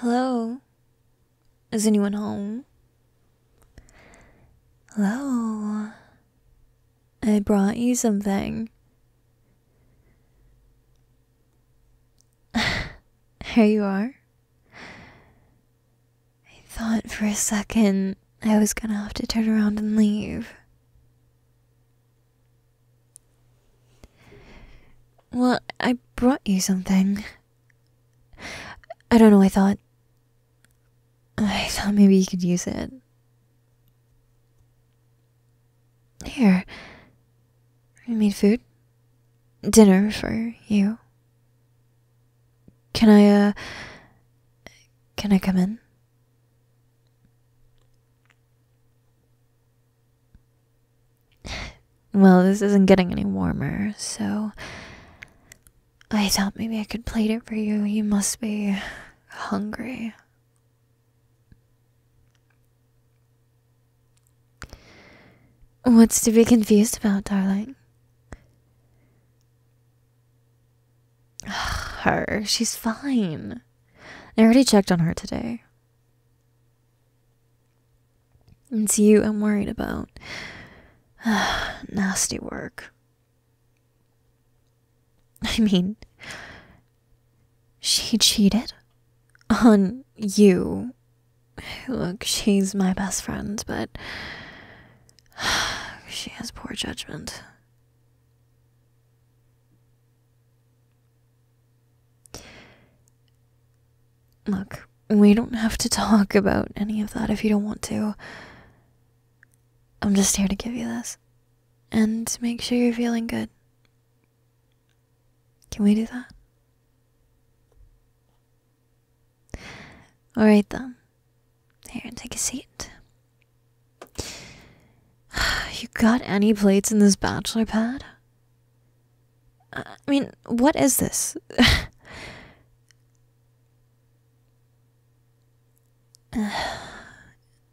Hello? Is anyone home? Hello? I brought you something. Here you are. I thought for a second I was gonna have to turn around and leave. Well, I brought you something. I don't know, I thought. I thought maybe you could use it. Here. I made food. Dinner for you. Can I, uh. Can I come in? Well, this isn't getting any warmer, so. I thought maybe I could plate it for you. You must be hungry. What's to be confused about, darling? her. She's fine. I already checked on her today. It's you I'm worried about. Nasty work. I mean, she cheated? On you. Look, she's my best friend, but she has poor judgment. Look, we don't have to talk about any of that if you don't want to. I'm just here to give you this and make sure you're feeling good can we do that? Alright then. Here, take a seat. You got any plates in this bachelor pad? Uh, I mean, what is this?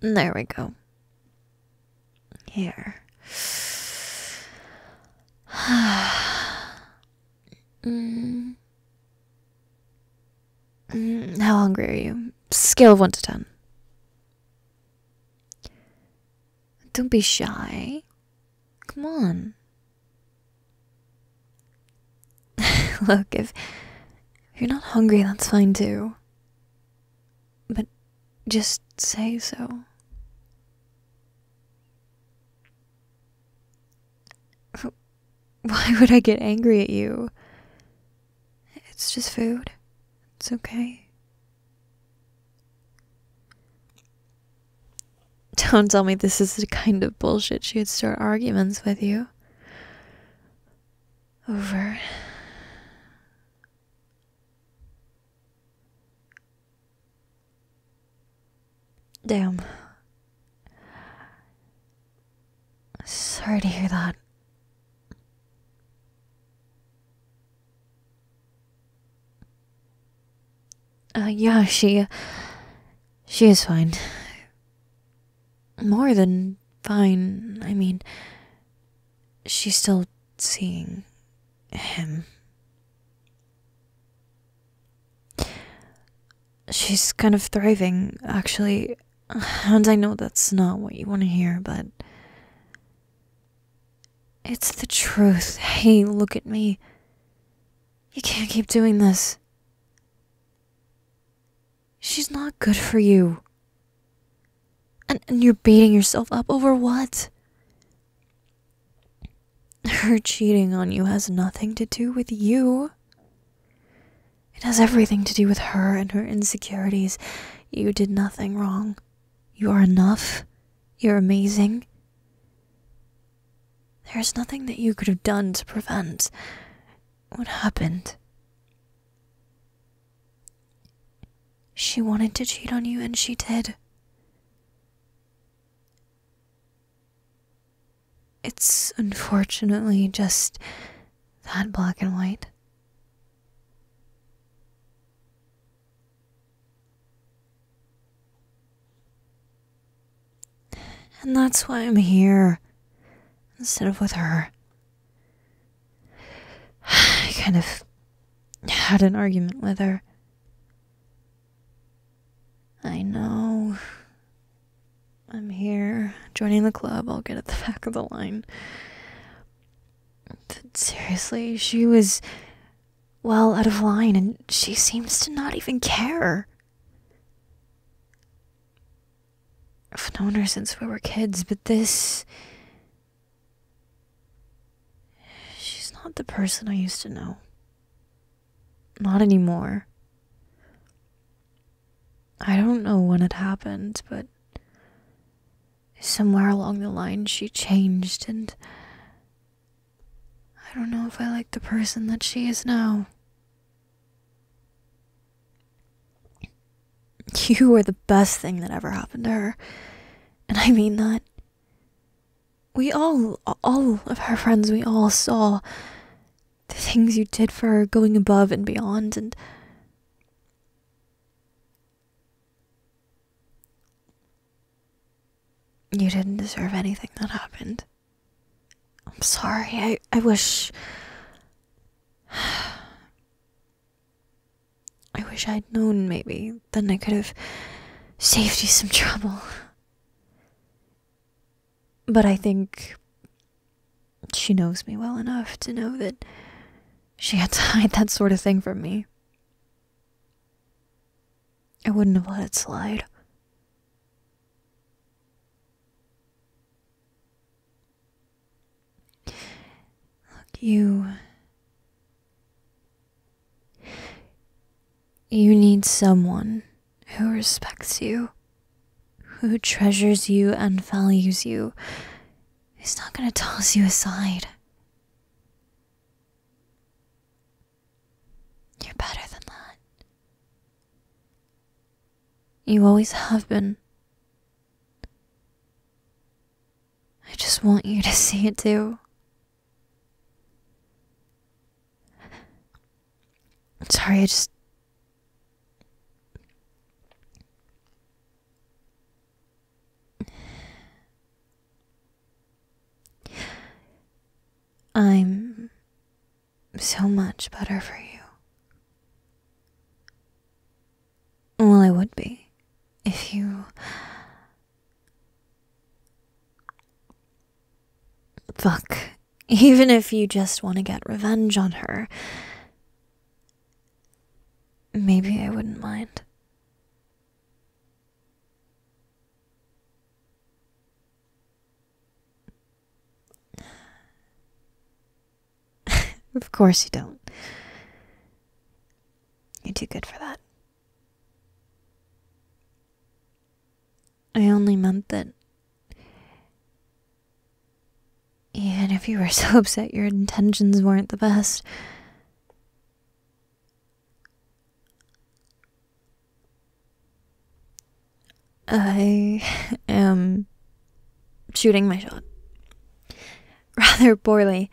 there we go. Here. Mm. mm. how hungry are you? Scale of 1 to 10. Don't be shy. Come on. Look, if you're not hungry, that's fine too. But just say so. Why would I get angry at you? It's just food. It's okay. Don't tell me this is the kind of bullshit she'd start arguments with you. Over. Damn. Sorry to hear that. Ah, yeah, she. She is fine. More than fine. I mean, she's still seeing him. She's kind of thriving, actually. And I know that's not what you want to hear, but. It's the truth. Hey, look at me. You can't keep doing this. She's not good for you. And, and you're beating yourself up over what? Her cheating on you has nothing to do with you. It has everything to do with her and her insecurities. You did nothing wrong. You are enough. You're amazing. There's nothing that you could have done to prevent what happened. She wanted to cheat on you and she did. It's unfortunately just that black and white. And that's why I'm here instead of with her. I kind of had an argument with her. I know. I'm here. Joining the club, I'll get at the back of the line. seriously, she was well out of line and she seems to not even care. I've known her since we were kids, but this She's not the person I used to know. Not anymore. I don't know when it happened, but somewhere along the line she changed, and I don't know if I like the person that she is now. You were the best thing that ever happened to her, and I mean that. We all, all of our friends, we all saw the things you did for her going above and beyond, and you didn't deserve anything that happened. I'm sorry. I, I wish. I wish I'd known, maybe. Then I could have saved you some trouble. But I think she knows me well enough to know that she had to hide that sort of thing from me. I wouldn't have let it slide. Look, you you need someone who respects you, who treasures you and values you, who's not going to toss you aside. You're better than that. You always have been. I just want you to see it too. I'm sorry, I just. I'm so much better for you. Well, I would be if you Fuck. Even if you just want to get revenge on her, maybe I wouldn't mind. of course you don't. You're too good for that. I only meant that. Even if you were so upset, your intentions weren't the best. I am shooting my shot rather poorly.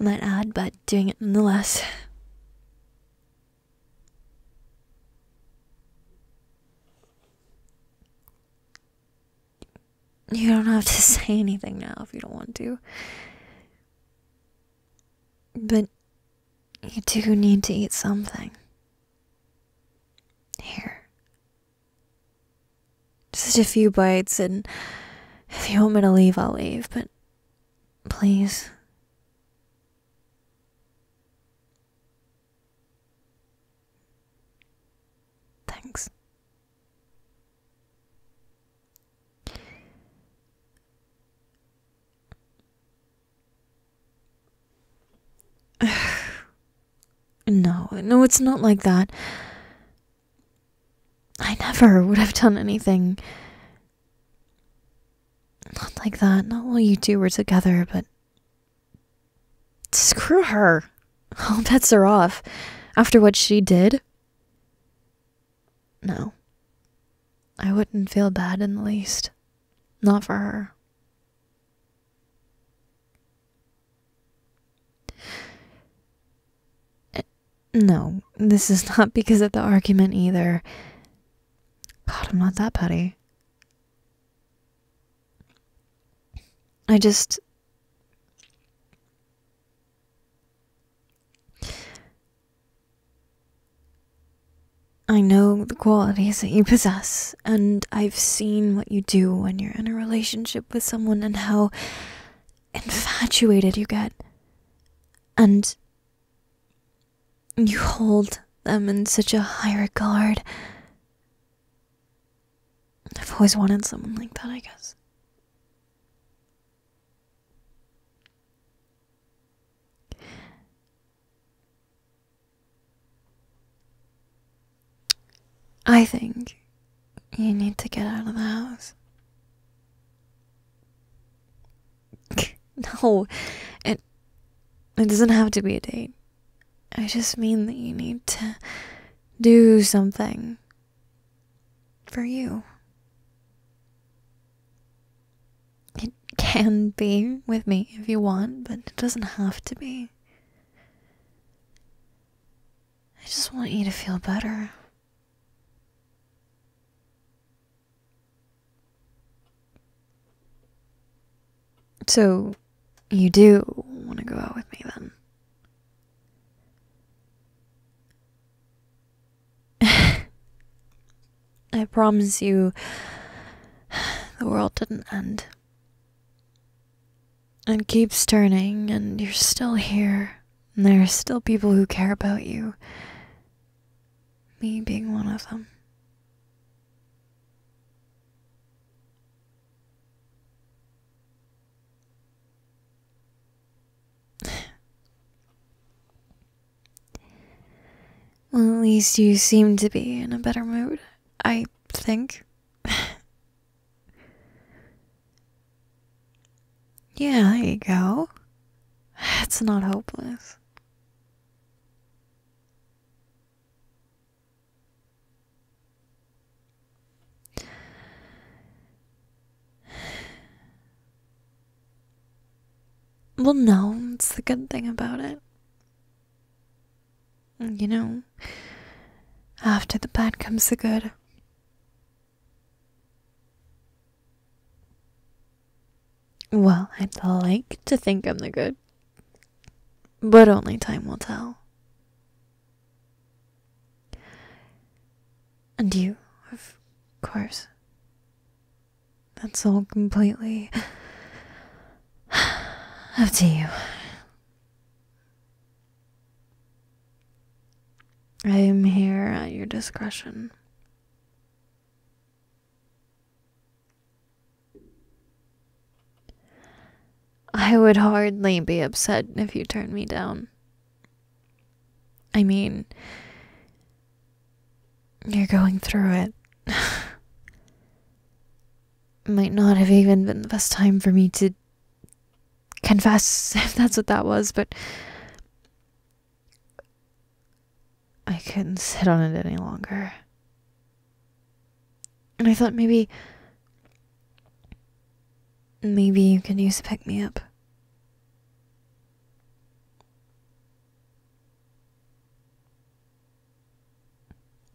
I might add, but doing it nonetheless. You don't have to say anything now if you don't want to. But you do need to eat something. Here. Just a few bites, and if you want me to leave, I'll leave, but Please. Thanks. no, no, it's not like that. I never would have done anything. Not like that. Not while you two were together, but. Screw her. All bets are off. After what she did? No. I wouldn't feel bad in the least. Not for her. No, this is not because of the argument either. God, I'm not that petty. I just. I know the qualities that you possess, and I've seen what you do when you're in a relationship with someone and how infatuated you get and you hold them in such a high regard. I've always wanted someone like that, I guess. I think you need to get out of the house. no, it it doesn't have to be a date. I just mean that you need to do something for you. It can be with me if you want, but it doesn't have to be. I just want you to feel better. So, you do want to go out with me then? I promise you, the world didn't end. and keeps turning, and you're still here. And there are still people who care about you. Me being one of them. Well, at least you seem to be in a better mood, I think. Yeah, there you go. It's not hopeless. Well, no, it's the good thing about it. You know, after the bad comes the good. Well, I'd like to think I'm the good, but only time will tell. And you, of course. That's all completely up to you. I am here at your discretion. I would hardly be upset if you turned me down. I mean, you're going through it. Might not have even been the best time for me to confess if that's what that was, but I couldn't sit on it any longer. And I thought maybe. Maybe you could use pick me up.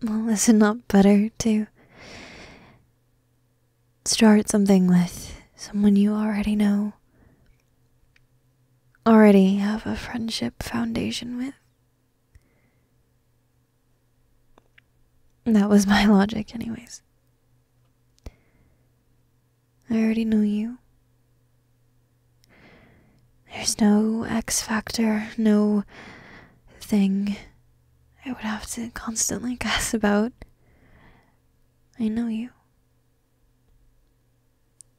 Well, is it not better to start something with someone you already know already have a friendship foundation with. That was my logic, anyways. I already know you. There's no X factor, no thing I would have to constantly guess about. I know you.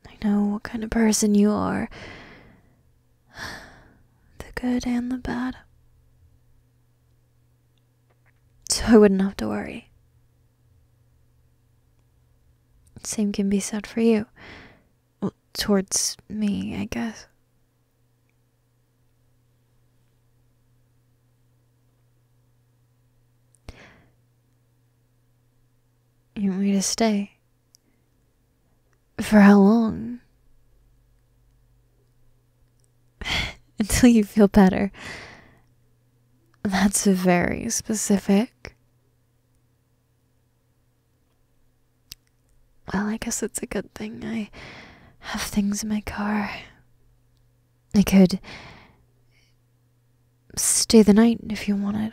I know what kind of person you are the good and the bad. So I wouldn't have to worry. Same can be said for you. towards me, I guess. You want me to stay? For how long? Until you feel better. That's very specific. Well, I guess it's a good thing I have things in my car. I could stay the night if you want it.